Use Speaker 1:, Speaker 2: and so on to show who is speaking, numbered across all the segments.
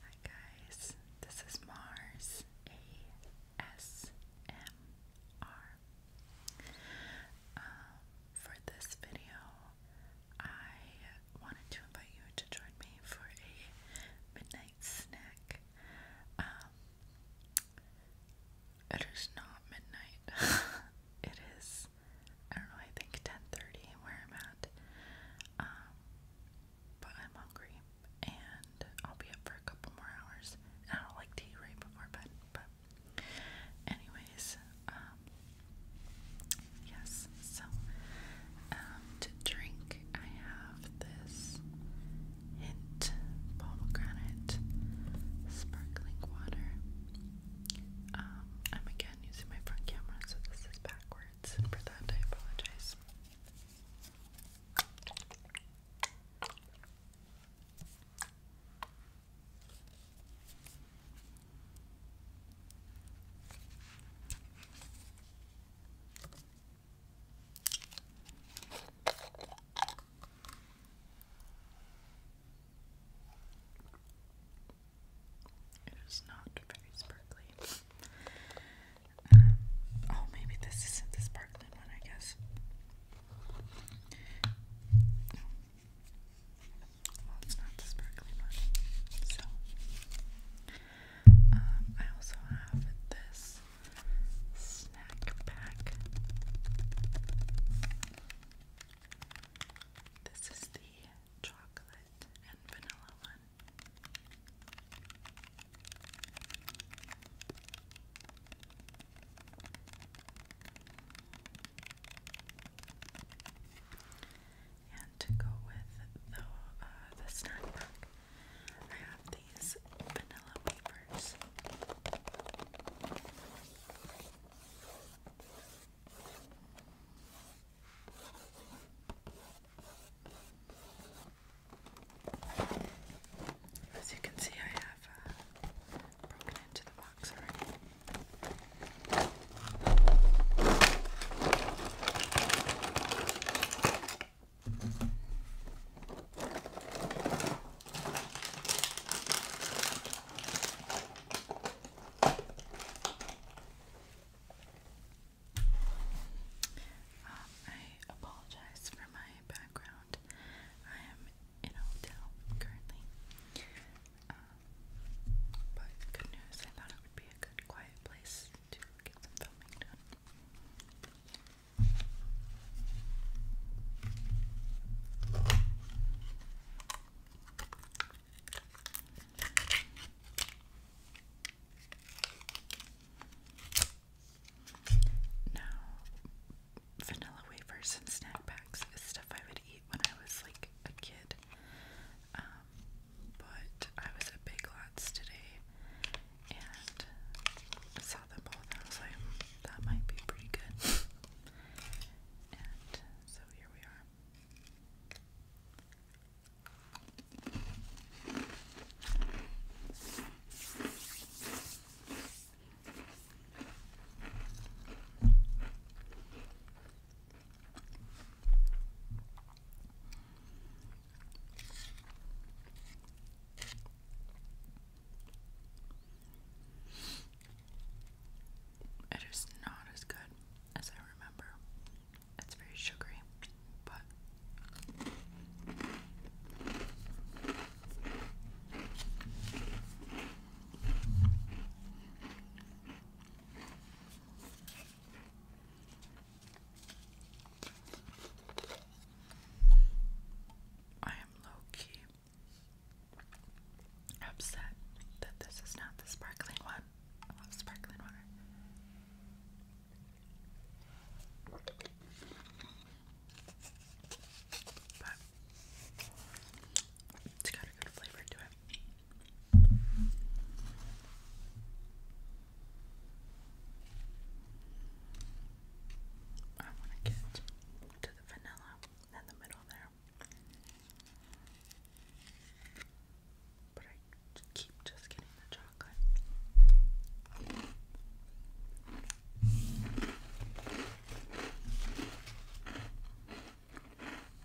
Speaker 1: Hi guys, this is Mars ASMR. Um, for this video, I wanted to invite you to join me for a midnight snack. Um, it is not midnight. it is I don't know, I think 10:30 where I'm at. Um, but I'm hungry and I'll be up for a couple more hours. I don't like to right before bed, but anyways, um, yes, so um, to drink I have this hint pomegranate sparkling water. Um, I'm a again using my front camera, so this is backwards, for that I apologize. It is not very sparkly. Um, oh, maybe this isn't the sparkling one, I guess. No. it's not the sparkling one. So, um, I also have this snack pack. This is the chocolate and vanilla one. And to go with the, uh, the snack pack, I have these vanilla wafers. As you can see, I have uh, broken into the box already. Um, I apologize for my background. I am in a hotel currently. Uh, but good news, I thought it would be a good quiet place to get some filming done. Now, vanilla wafers and snack packs is stuff I would eat when I was like a kid. Um, but I was at Big Lots today and I saw them both and I was like, that might be pretty good. and so here we are. It is not as good as I remember. It's very sugary, but I am low upset that this is not the sparkling one. I love sparkling water. But it's got a good flavor to it. I want to get to the vanilla in the middle there. But I keep just getting the chocolate.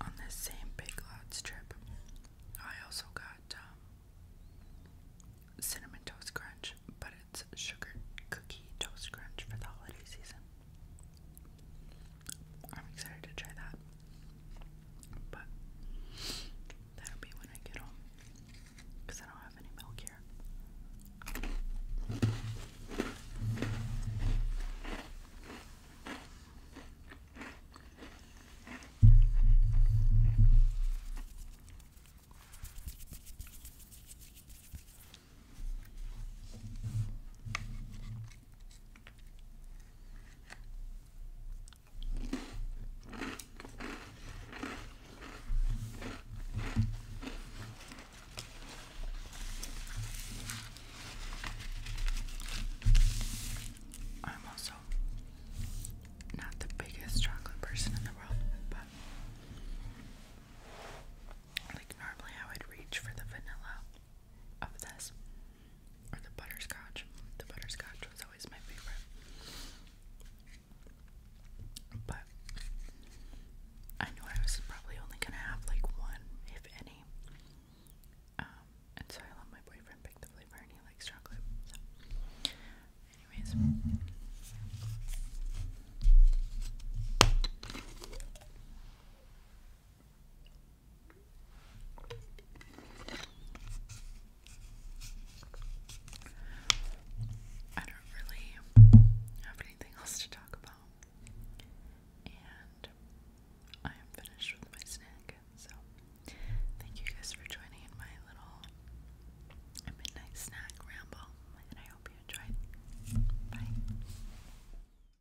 Speaker 1: On this same Big Lots trip, I also got um, cinnamon toast crunch, but it's sugar cookie toast crunch for the holiday season. I'm excited to try that, but that'll be when I get home because I don't have any milk here. I'm also not the biggest chocolate person in the world, but like normally I would reach for the vanilla of this or the butterscotch. The butterscotch was always my favorite. But I knew I was probably only gonna have like one, if any. Um, and so I let my boyfriend pick the flavor and he likes chocolate. So anyways I don't really have anything else to talk about. And I am finished with my snack. So, thank you guys for joining in my little midnight snack ramble. And I hope you enjoyed. Bye.